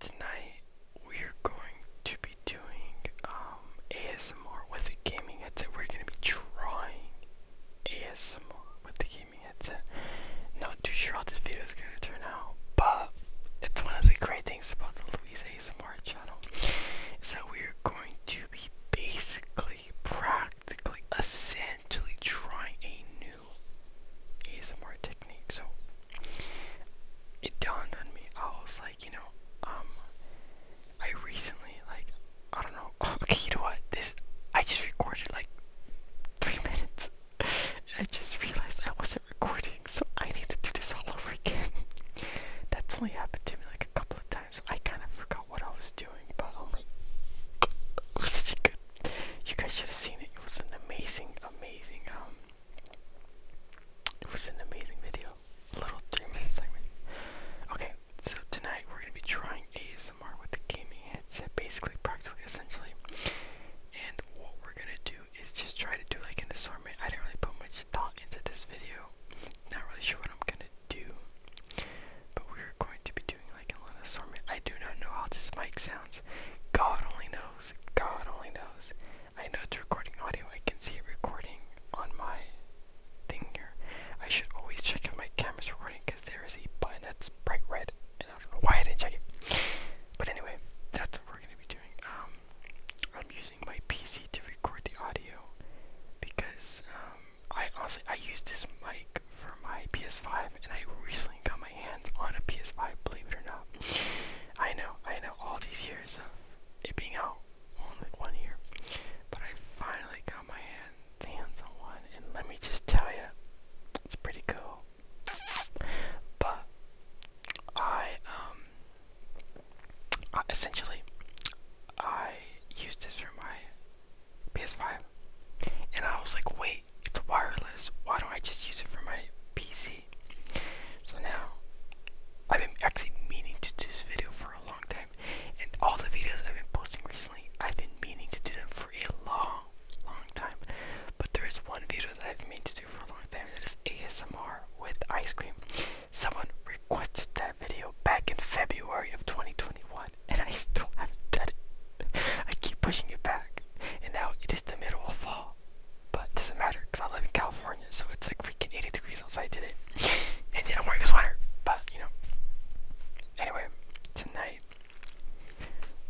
Tonight we're going to be doing um, ASMR with a gaming headset. We're going to be drawing ASMR with the gaming headset. Not too sure how this video is going to turn out, but it's one of the great things about the Louise ASMR channel is that we're going to be basically, practically, essentially trying a new ASMR technique. So it dawned on me. I was like, you know, um, I recently like, I don't know. Okay, you know what? This I just recorded like three minutes. I just realized I wasn't recording, so I need to do this all over again. That's only happened to me like a couple of times, I kind of forgot what I was doing, but oh it was such a good you guys should have seen it. It was an amazing, amazing um it was an amazing video. A little three minute segment. Okay, so tonight we're gonna be trying ASMR with the gaming headset, basically, practically, essentially. And what we're gonna do is just try to do like an assortment. I didn't really put much thought into this video. Not really sure what I'm gonna do. But we're going to be doing like a little assortment. I do not know how this mic sounds. God only knows. God only knows. I know it's recording audio. I can see it recording on my thing here. I should always check if my camera's recording because there is a button that's bright red, and I don't know why I didn't check it. But anyway, that's what we're gonna be doing. Um, I'm using my PC to record the audio because um, I honestly I use this mic for my PS5, and I recently got my hands on a PS5, believe it or not. I know, I know, all these years of it being out, only one year, but I finally got my hands, hands on one, and let me just tell you, it's pretty cool. But, I, um, essentially, I used this for my PS5, and I was like, wait, it's wireless. Why don't I just use it for my PC? So now, I've been actually meaning to do this video for a long time, and all the videos I've been posting recently, I've been meaning to do them for a long, long time. But there is one video that I've been meaning to do for a long time, that is ASMR with ice cream. Someone requested that video back in February of 2021, and I still haven't done it. I keep pushing it back, and now it is the middle of fall, but it doesn't matter because I live in California, so it's like freaking 80 degrees outside today. and yeah, I'm wearing a sweater, but you know. Anyway, tonight,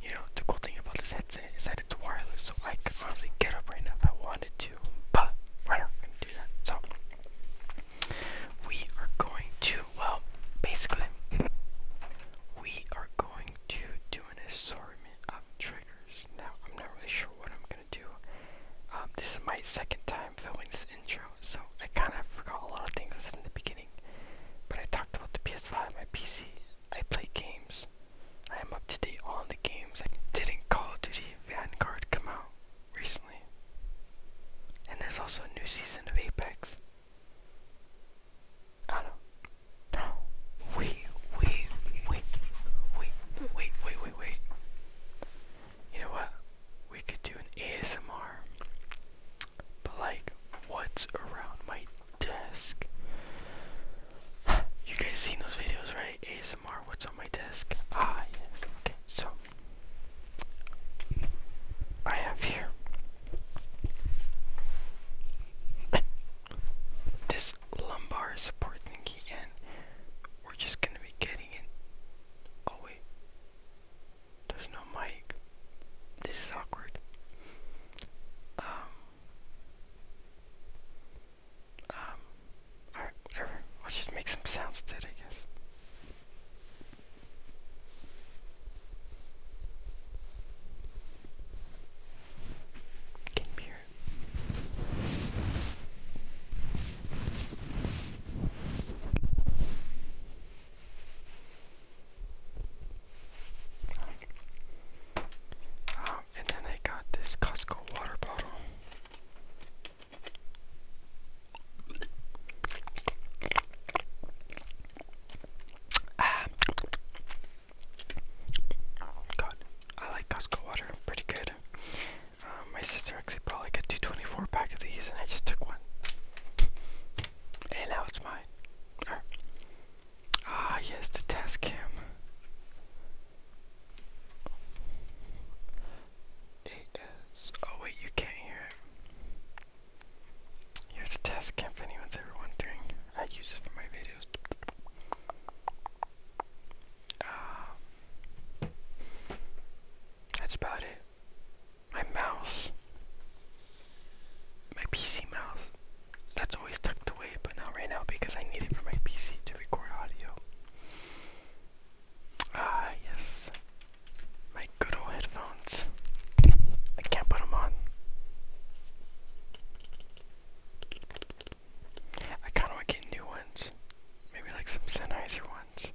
you know, the cool thing about this headset is that it's wireless, so I can honestly get up right now if I wanted to, but we're not going to do that. So, we are going to, well, basically, we are going to do doing assortment of um, triggers. Now, I'm not really sure what I'm gonna do. Um, this is my second time filming this intro, so I kind of forgot a lot of things in the beginning. But I talked about the PS5, my PC. I play games. I am up to date on the games. I didn't Call of Duty Vanguard come out recently? And there's also a new season of Apex. No, no, Wait, wait, wait, wait, wait, wait, wait, wait. You know what? We could do an ASMR, but like, what's around my desk? You guys seen those videos, right? ASMR, what's on my desk? Ah, Okay, so I have here this lumbar support thingy and we're just gonna be getting it. Oh wait, there's no mic. This is awkward. Um, um, alright, whatever. Let's just make some sounds today, I guess. Can mirror. Um, and then I got this Costco water bottle. Ah. God, I like Costco water, pretty good. Um, my sister actually brought like a 224 pack of these, and I just took one. And now it's mine. Ah, yes, the task cam. It is. Oh, wait, you can't hear it. Here's a task cam if anyone's ever wondering. I use it for my videos. Um, that's about it. My mouse, my PC mouse, that's always tucked away, but not right now because I need it for my PC to record audio. Ah, yes, my good old headphones. I can't put them on. I kind of want to get new ones. Maybe like some Sennheiser ones.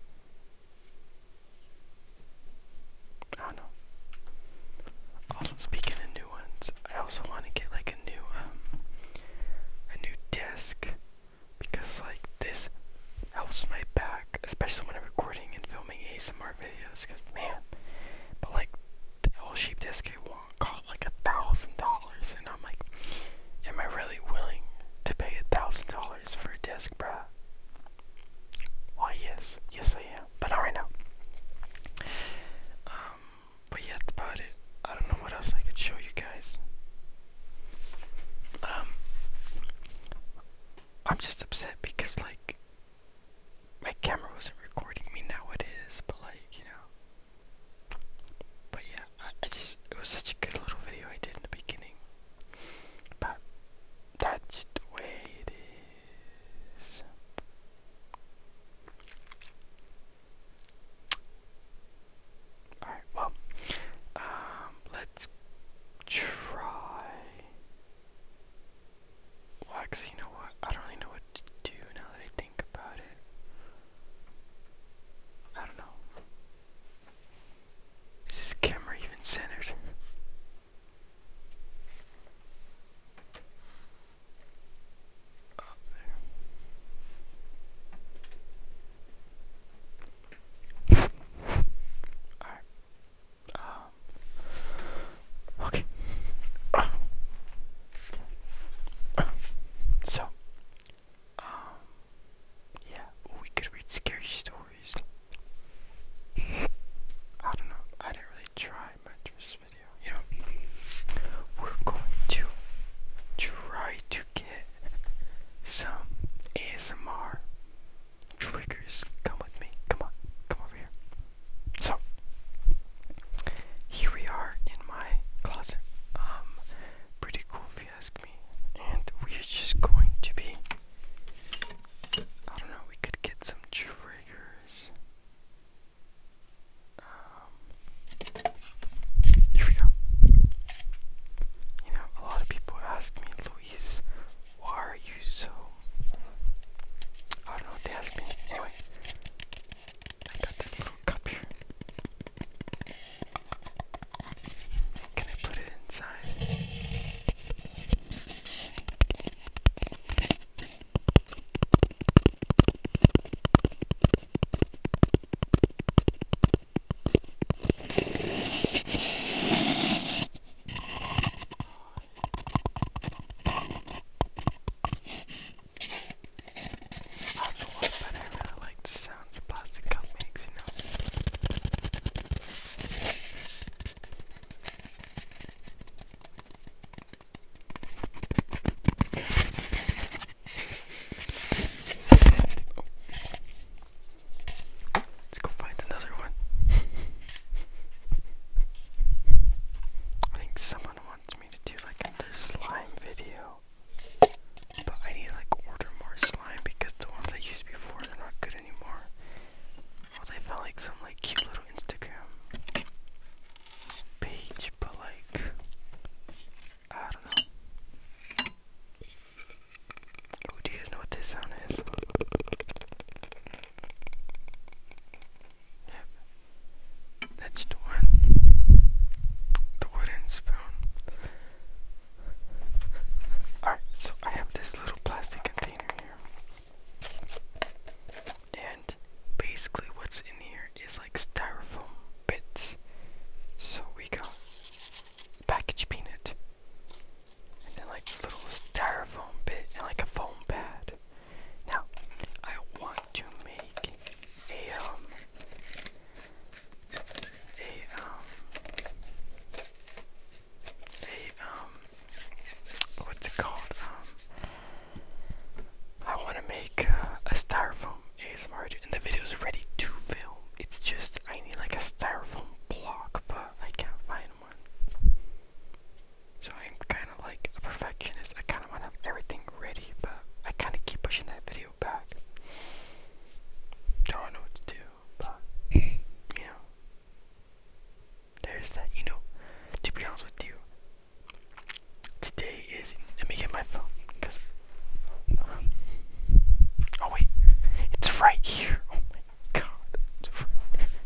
I don't know. Also, speaking of new ones, I also want to get like a new, um, a new desk. Because like this helps my back, especially when I'm recording and filming ASMR videos. Cause man, but like oh, she just gave one cost like a thousand dollars, and I'm like, am I really willing to pay a thousand dollars for a disc, bruh? Why, yes, yes I am, but not right now. Um, but yeah, that's about it. I don't know what else I could show you guys. Um, I'm just upset because like my camera wasn't recording me now it is but like you know but yeah I, I just it was such a good little video I did in the beginning but that's the way it is Alright, well, um, let's try well, actually, you know what? I don't really know what to do now that I think about it. I don't know. Is this camera even centered? Oh, there. Alright. Um, okay. So, um, yeah, we could read scary stories. I don't know, I didn't really try much you know. We're going to try to get some ASMR triggers. Come with me, come on, come over here. So here we are in my closet. Um, pretty cool if you ask me. And we're just going to be. I don't know. We could get some triggers. Um, here we go. You know, a lot of people ask me, Louise, why are you so I don't know what they asked me. Anyway, I got this little cup here. Can I put it inside? That's the one that I really like the sounds a plastic cup makes, you know. Oh. Let's go find another one. I think someone wants me to do like another slime video. But I need like order more slime because the ones I used before they're not good anymore. Well they found like some like cute little Instagram page, but like I don't know. Oh, do you guys know what this sound is? That's the one. The wooden spoon. Alright, so I have this little plastic container here. And basically what's in here is like styrofoam bits. So we got packaged peanut. And then like this little styrofoam bit like a foam pad. Now, I want to make a um a um a um what's it called? Um I want to make uh, a styrofoam ASMR and the video is ready to film. It's just I need like a styrofoam block, but I can't find one. So I'm kind of like a perfectionist. I kind of want to have everything ready, but I kind of keep pushing that video back. Don't know what to do, but you know, there's that. You know, to be honest with you, today is. Let me get my phone because. Um, oh wait, it's right here. Oh God.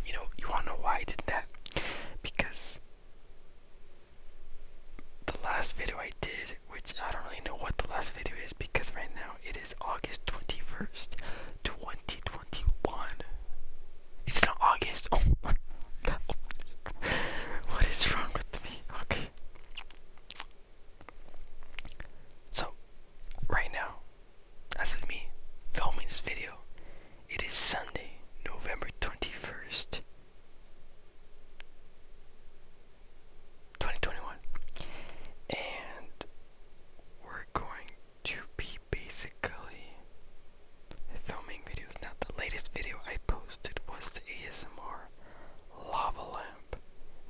You know, you wanna know why I did that? Because the last video I did, which I don't really know what the last video is because right now it is August 21st, 2021. It's not August. Oh my What is wrong with me? Okay. So, right now, as of me filming this video, it is Sunday, November 21st, 2021. And we're going to be basically filming videos. Now, the latest video I posted was the ASMR lava lamp.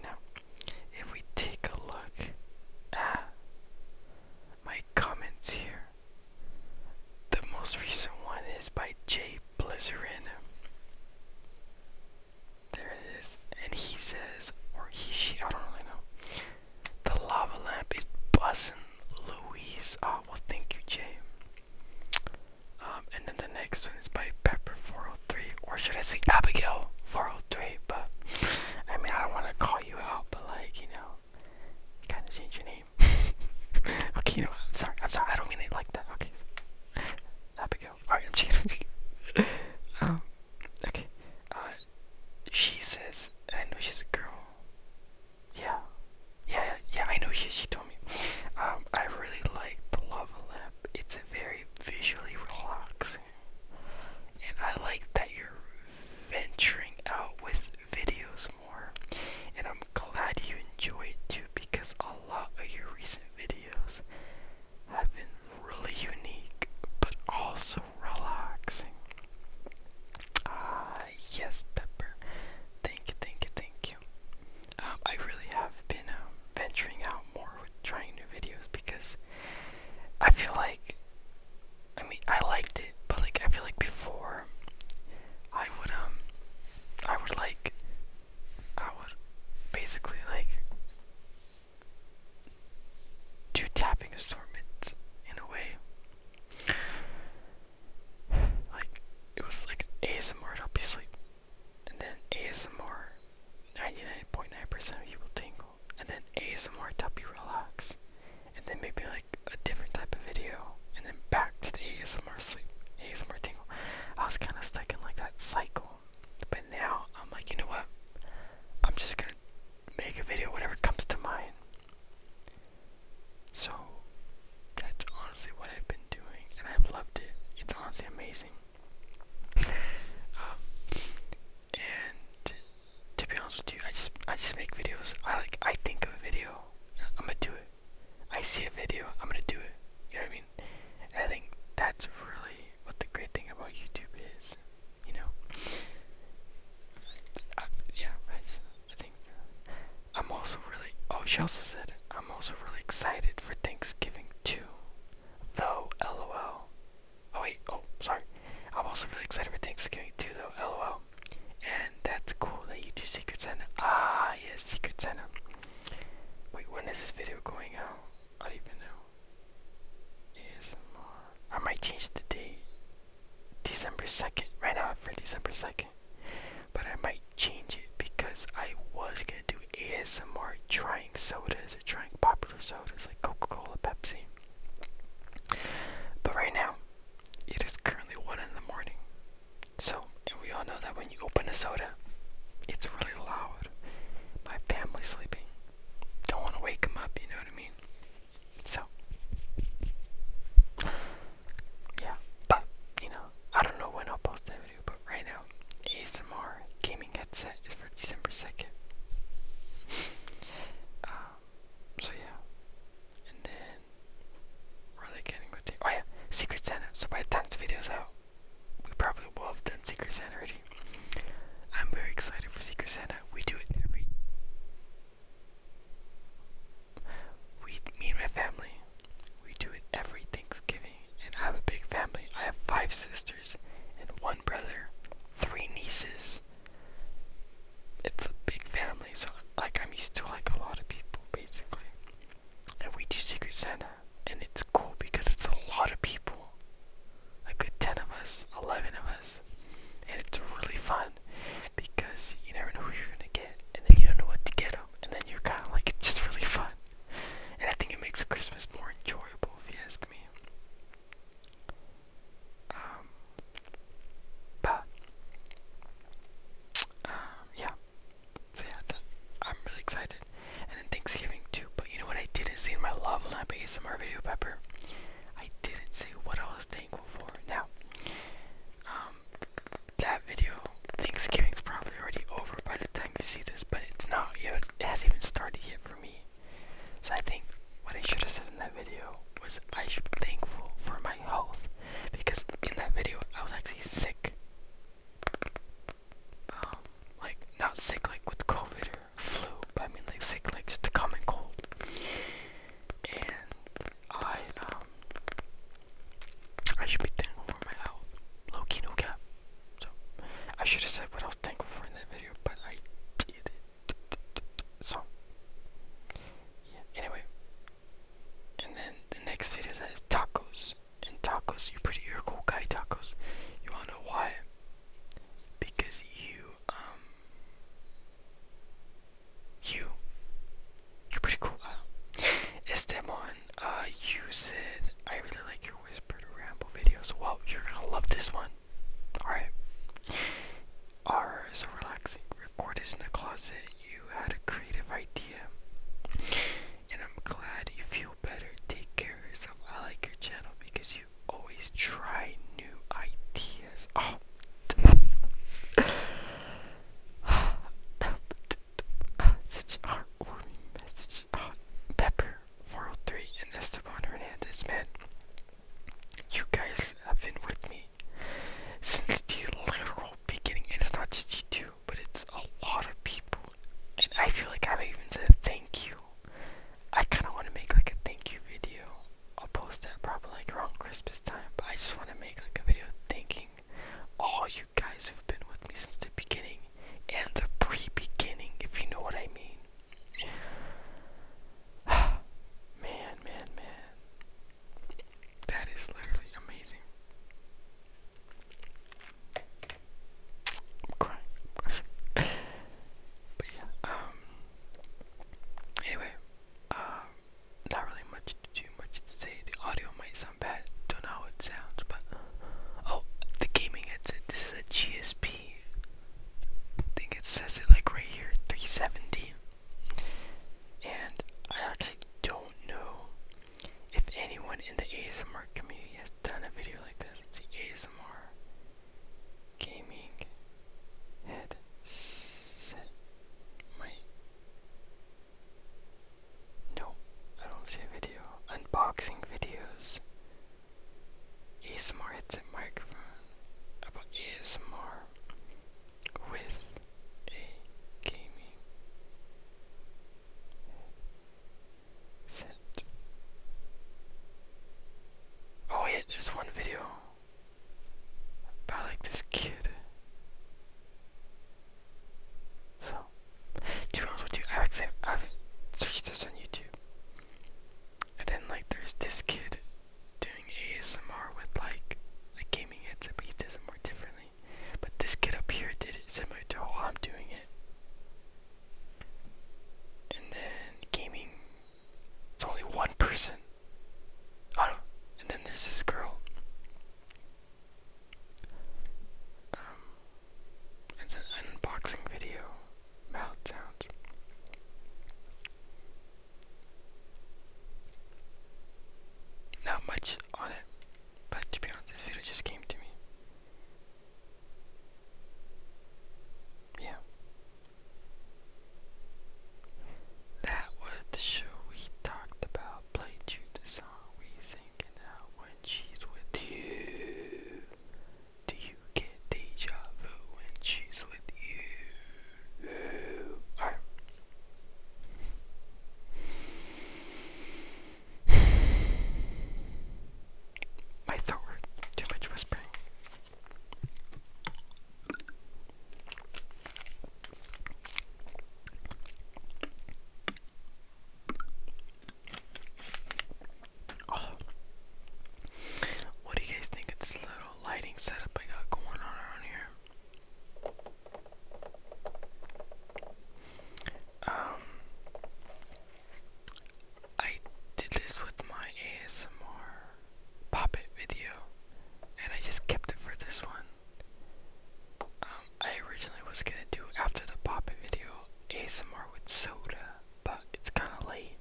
Now, if we take a look at my comments here. The most recent one is by J Blizzard. There it is. And he says, or he, she, I don't really know. The lava lamp is buzzing, Louise. Ah, oh, thank you, J. Um, and then the next one is by Pepper403, or should I say Abigail403, but I mean, I don't want to call you out, but like, you know, kind of change your name. okay, you know, I'm sorry, I'm sorry, I don't mean it like that. Okay, so, that Alright, I'm just Um, okay. Uh, she says, I know she's a girl. Yeah. Yeah, yeah, I know she, she told me. Um, I really like the lava lamp. It's very visually relaxing. And I like that you're venturing out with videos more. And I'm glad you enjoy it too because a lot of your recent videos have been really unique but also relaxing. Ah, uh, yes, Pepper. Thank you, thank you, thank you. Um, I really have been um, venturing out more with trying new videos because I feel like I mean, I liked it, but like I feel like before, I would um, I would like, I would basically like do tapping assortments in a way. Like it was like an ASMR to help you sleep, and then ASMR. 99.9% .9 of you will tingle and then ASMR to help you relax, and then maybe like a different type of video, and then back to the ASMR sleep, ASMR tingle. I was kind of stuck in like that cycle, but now I'm like, you know what? I'm just gonna make a video, whatever comes to mind. So that's honestly what I've been doing, and I've loved it. It's honestly amazing. Um, and to be honest with you, I just I just make videos. I like I think of a video, I'm gonna do it. I see a video, I'm gonna do it. You know what I mean? I think that's really what the great thing about YouTube is. You know? yeah, I think I'm also really. Oh, she also said I'm also really excited for Thanksgiving too. Though, lol. Oh wait, oh, sorry. I'm also really excited for Thanksgiving too though, lol. And that's cool that you do Secret Santa. Ah, yes, Secret Santa. Wait, when is this video going out? I don't even know. ASMR. I might change the date. December 2nd. Right now for December 2nd. But I might change it because I was gonna do ASMR trying sodas or trying popular sodas like Coca-Cola, Pepsi. But right now, it is currently 1 in the morning. So, we all know that when you open a soda, it's really loud. My family's sleeping. Don't want to wake them up, you know what I mean? So, yeah, but, you know, I don't know when I'll post that video, but right now, ASMR gaming headset is for December 2nd. so yeah. And then, where are they getting ready. the, oh yeah, Secret Santa. So by the time this video's out, we probably will have done Secret Santa already. I'm very excited for Secret Santa. We do it every, we, me and my family, we do it every Thanksgiving. And I have a big family. I have five sisters and one brother, three nieces, it's a big family, so like I'm used to like a lot of people basically. And we do Secret Santa, and it's cool because it's a lot of people, a good ten of us, eleven of us, and it's really fun because you never know who you're gonna get, and then you don't know what to get them, and then you're kind of like it's just really fun, and I think it makes Christmas more enjoyable if you ask me. Um, but um, yeah, so I'm really excited. And then Thanksgiving too. But you know what I didn't say my lava lamp ASMR video, Pepper? I didn't say what I was thankful for. Now, um, that video, Thanksgiving's probably already over by the time you see this, but it's not. You it hasn't even started yet for me. So I think what I should have said in that video was i should be thankful for my health because in that video I was actually sick. Um, like not sick like with COVID or flu, but I mean like sick like just a common cold. And I um I should be thankful for my health. Low key no cap. So I should have said what I was thankful for in that video, but I did it. So, yeah, anyway. And then the next video that is tacos. And tacos, you're pretty, you're a cool guy, tacos. You wanna know why? Because you, um, you, you're pretty cool. Esteban, uh, you said, I really like your whisper ramble videos. Wow, you're gonna love this one. Alright. R is a relaxing. Recorded in a closet. You had a creative idea. And I'm glad you feel better. Take care of yourself. I like your channel because you always try new ideas. Oh. Such a heartwarming message. Oh, Pepper, World 3, and Esteban Hernandez, man. You guys have been with me since the literal beginning, and it's not just you two, but it's a lot of people. And I feel like I have even said thank you. I kind of want to make like a thank you video. I'll post that probably like around Christmas time, but I just want to make like a video thanking all you guys who've been with me since the beginning and the pre-beginning, if you know what I mean. man, man, man. That is literally amazing. I'm crying. but yeah, um, anyway, um, not really much to do, much to say. The audio might sound bad, don't know how it sounds, but, oh, the gaming headset, this is a GSP I think it says it like right here, 370. And I actually don't know if anyone in the ASMR community has done a video like this. It's the ASMR gaming headset mic. No, I don't see a video. Unboxing videos. ASMR headset microphone about ASMR with a gaming set. Oh yeah, there's one video about like this kid. So, to be honest with you, I've, I've searched this on YouTube. And then like there's this kid doing ASMR with like a gaming headset, but he does it more differently. But this kid up here did it similar to how I'm doing it. And then gaming, it's only one person. Oh and then there's this girl. Um, it's an unboxing video meltdowns not much on it but to be honest this video just came to me yeah that was the show we talked about played you the song we singing out when she's with you do you get deja vu when she's with you? My throat Too much whispering. Oh. What do you guys think of this little lighting setup I got going on around here? Um, I did this with my ASMR pop video, and I just kept it for this one. Um, I originally was gonna do after the pop video ASMR with soda, but it's kind of late,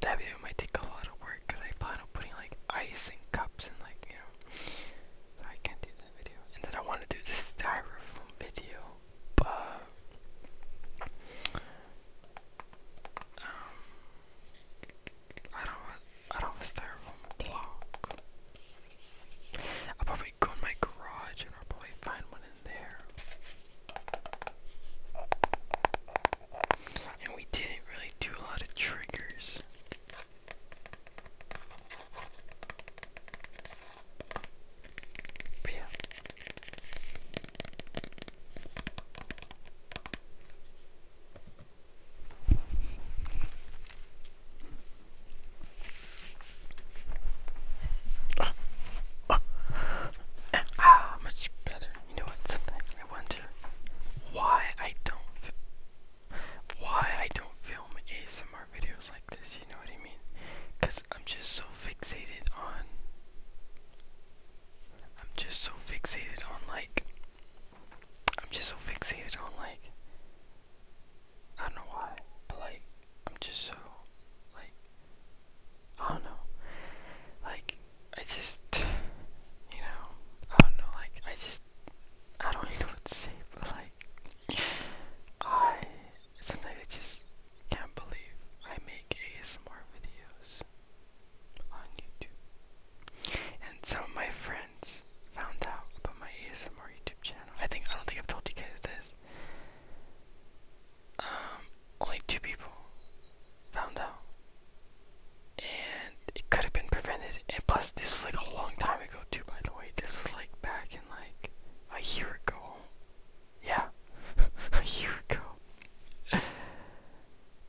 that video might take a lot of work I plan on putting like ice and cups and like you know, so I can't do that video. And then I want to do this styrofoam video, but um, I don't I don't have styrofoam block. I'll probably go in my garage and I'll probably find one in there. And we didn't really do a lot of triggers. But yeah ah, much better. You know what? Sometimes I wonder why I don't, why I don't film ASMR videos like this. You know what I mean? Cause I'm just so fixated on, I'm just so fixated on like, I'm just so fixated on like. I don't know why, but like, I'm just so, like, I don't know. Like, I just, you know, I don't know, like, I just, I don't even know what to say, but like, I, sometimes I just can't believe I make ASMR videos on YouTube. And some of my friends found out about my ASMR YouTube channel. I think, I don't think I've told you guys this. Um, only two people found out. And it could have been prevented. And plus, this was like a long time ago, too, by the way. This was like back in like a year ago. Yeah, a year ago.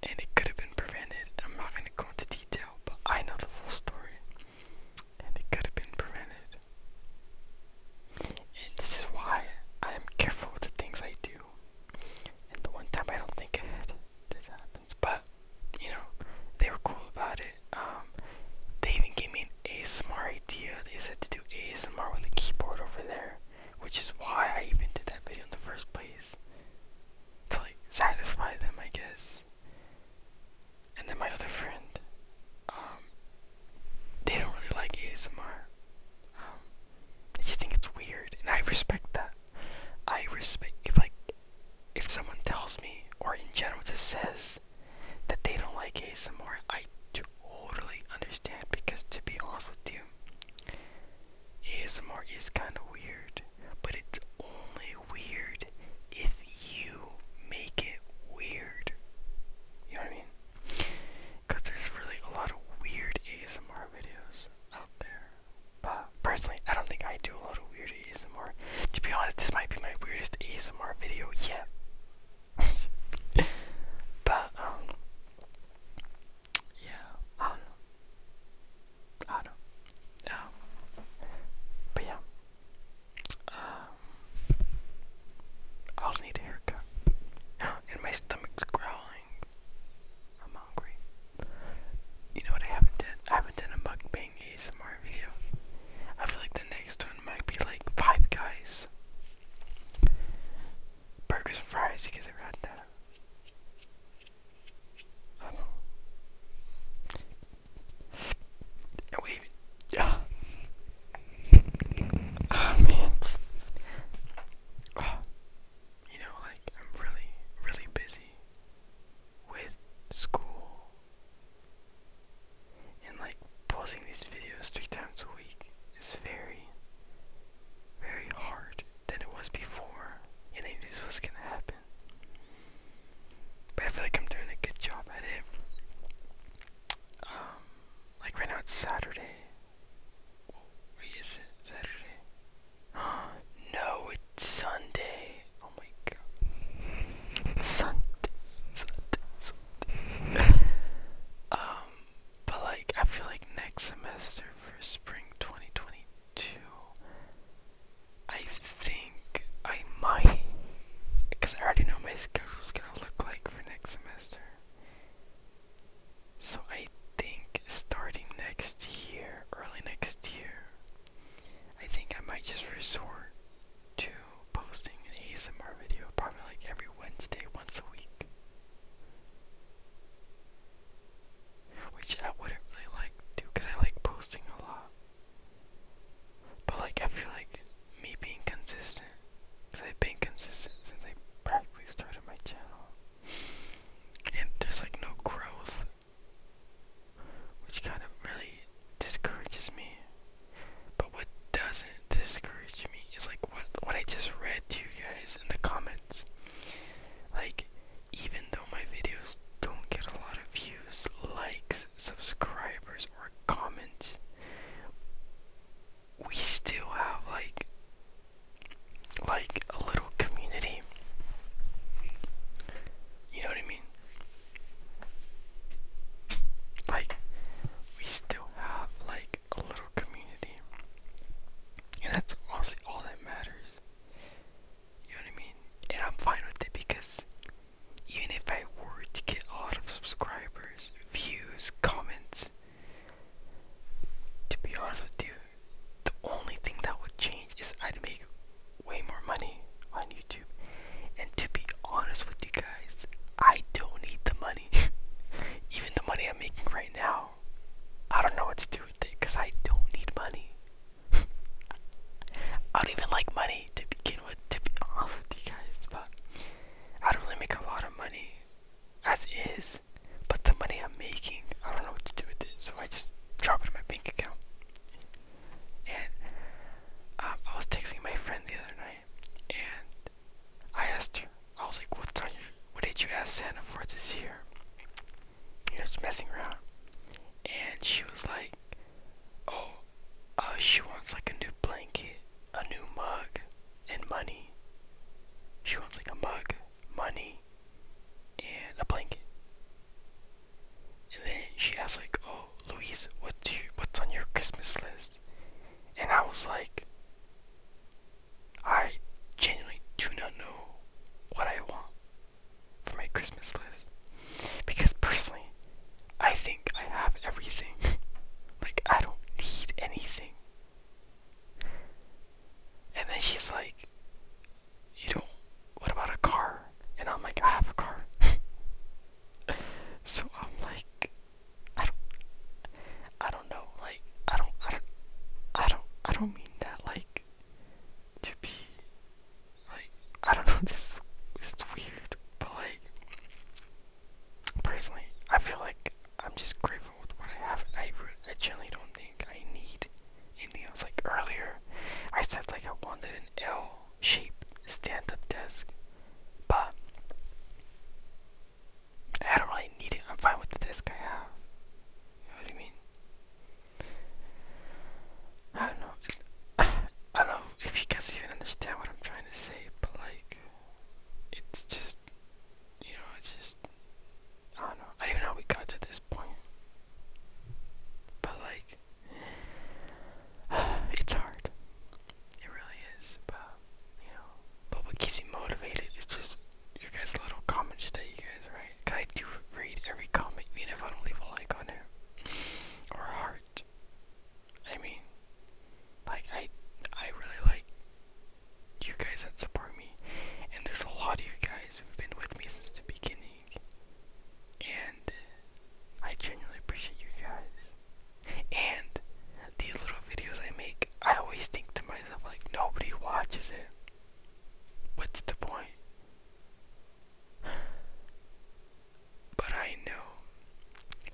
and it could have been prevented. I'm not going to go into detail, but I know the full story. And it could have been prevented. And this is why I am careful with the things I do. And the one time I don't think ahead, this happens. But, you know, they were cool about it. Um, they even gave me an ASMR idea. They said to do ASMR with a keyboard over there, which is why I even did that video in the first place. To, like, satisfy them, I guess. And then my other friend, um, they don't really like ASMR. Um, they just think it's weird, and I respect that. I respect if like if someone tells me or in general just says that they don't like ASMR, I totally understand because to be honest with you, ASMR is kind of weird, but it's only weird if you make it weird. You know what I mean? Because there's really a lot of weird ASMR videos out there. But personally, I don't think I do a lot of weird ASMR. To be honest, this might be my weirdest ASMR video yet. but, um, yeah, I don't know. I don't know. Um, but yeah. Uh, I also need a haircut. And my stomach's growling. I'm hungry. You know what I haven't done? I haven't done a mukbang ASMR video. I feel like the next one might be like Five Guys. Burgers and fries, you guys ever had that? I don't know. And yeah. oh, man. Oh. you know, like, I'm really, really busy with school and, like, posting these videos three times a week is very, very hard than it was before. And I knew this was gonna happen. But I feel like I'm doing a good job at it. Um, like right now it's Saturday. Wait, is it Saturday? no, it's Sunday. Oh my god. Sunday, Sunday, Sunday. um, but like, I feel like next semester for spring 2022, I think I might, because I already know my schedule's gonna look like for next semester. So I think starting next year, early next year, I think I might just resort to posting an ASMR video probably like every Wednesday once a week. Which I wouldn't really like to I like posting a lot. But like I feel like me being consistent. Because I've been consistent since I practically started my channel. And there's like no growth. Which kind of really discourages me. But what doesn't discourage me is like what what I just read to you guys in the comments. Like even though my videos don't get a lot of views, likes, subscribers, or comments, we still have like like a little community. You know what I mean? Like we still have like a little community. And that's honestly all that matters. You know what I mean? And I'm fine with it because even if I were to get a lot of subscribers, views, comments, to be honest with you, the only thing that would change is I'd make way more money on YouTube. And to be honest with you guys, I don't need the money. even the money I'm making right now, I don't know what to do with it because I don't need money. I don't even like money to begin with, to be honest with you guys, but I don't really make a lot of money as is, but the money I'm making, I don't know what to do with it, so I just drop it in my bank account. And um, I was texting my friend the other night, and I asked her, I was like, "What's on your? What did you ask Santa for this year?" You know, just messing around, and she was like, "Oh, uh, she wants like a new blanket." a new mug and money. She wants like a mug, money, and a blanket. And then she asked like, "Oh, Louise, what do you, what's on your Christmas list?" And I was like, "I genuinely do not know what I want for my Christmas list because personally, I think I have everything. like, I don't need anything. And then she's like, You don't, what about a car? And I'm like, I have a car. so I'm like, I don't, I don't know, like, I don't, I don't, I don't, I don't mean that, like, to be, like, I don't know, this is, this weird, but like, personally, I feel like I'm just grateful with what I have. I, I generally don't think I need anything else. Like earlier, I said like I wanted an L-shaped stand-up desk, but I don't really need it. I'm fine with the desk I have. You know what I mean? I don't know. I don't know if you guys even understand what I'm trying to say, but like, it's just, you know, it's just, I don't know. I don't know how we got to this point. But, like, it's hard. It really is. But, you know, but what keeps me motivated is just your guys' little comments that you guys write. I do read every comment, even if I don't leave a like on it, or a heart. I mean, like I I really like you guys that support me, and there's a lot of you guys who've been with me since the beginning, and I genuinely appreciate you guys. And these little videos I make, I always think to myself like nobody watches it. What's the point? But I know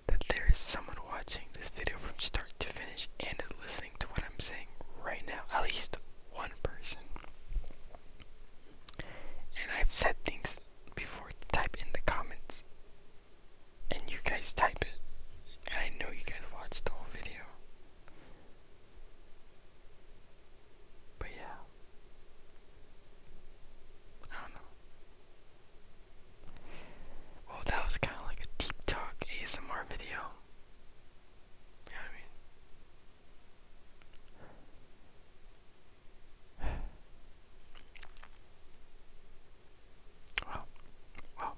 that there is someone watching this video from start to finish and listening to what I'm saying right now. At least one person. And I've said things before, type in the comments. And you guys type it. And I know you guys watched the whole video. But yeah. I don't know. Well, that was kind of like a deep talk ASMR video. You I mean? Wow. Wow.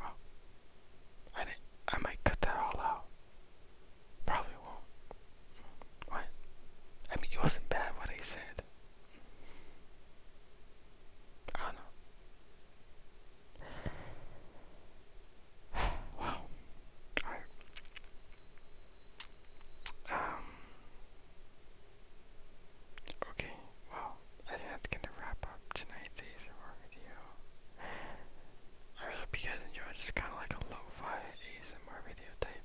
Wow. I, didn't, I might cut that all out. Probably won't. What? I mean, it wasn't bad what I said. I do wow. Alright. Um. Okay, well, I think that's gonna wrap up tonight's ASMR video. I hope you guys enjoyed. It's kind of like a lo-fi ASMR video type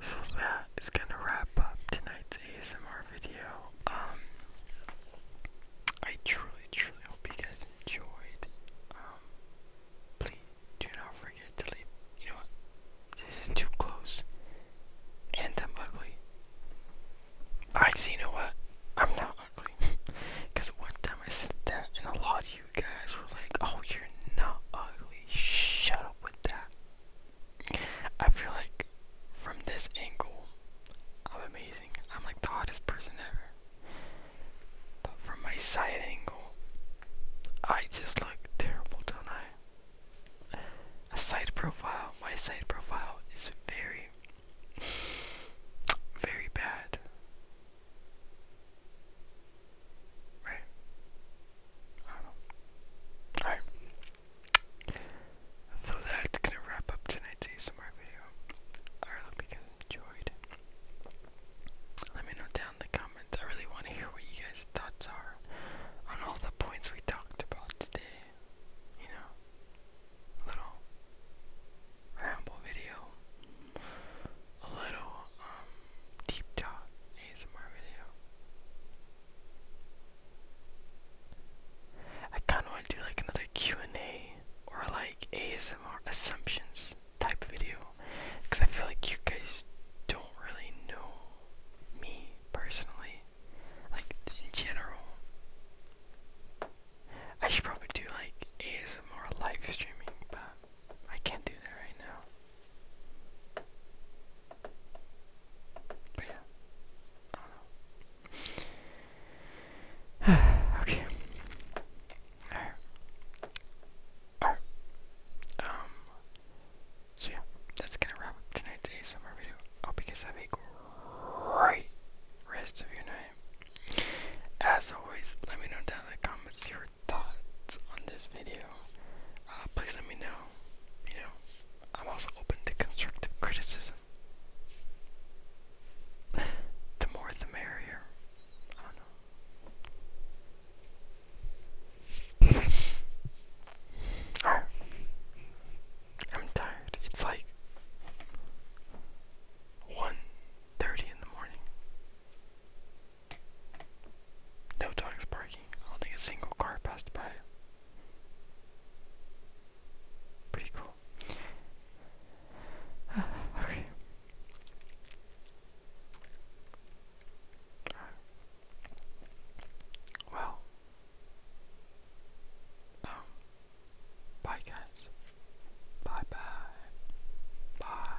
so that is gonna wrap up tonight's ASMR video. Um, I truly, truly hope you guys enjoyed. Um, please do not forget to leave. You know what? This is too close, and I'm ugly. Actually, you know what? I'm not ugly. Because one time I said that, and a lot of you guys were like, oh, you're not ugly. Shut up with that. I feel like from this angle, I'm amazing. I'm like the hottest person ever. But from my side angle, I just look terrible, don't I? A side profile, my side profile is very, very bad. Right? I don't know. Alright. So that's gonna wrap up tonight's ASMR video. I really hope you guys enjoyed. Let me know down in the comments. I really want to hear what you guys' thoughts are on all the points we talked about today. You know, little ramble video, a little um deep dive ASMR video. I kind of want to do like another Q&A or like ASMR assumptions type video because I feel like you guys don't really know me personally, like in general. I should probably do like ASMR live streaming, but I can't do that right now. okay. Alright. Um, so yeah, that's gonna wrap tonight's ASMR video. I hope you guys have a great rest of your night. As always, let me know down in the comments your thoughts on this video. Uh, please let me know you know, I'm also open to constructive criticism. The more the merrier. I don't know. Oh. I'm tired. It's like 1.30 in the morning. No dogs parking. only a single car passed by. Pretty cool. okay. well. Um, bye, guys. Bye, bye. Bye.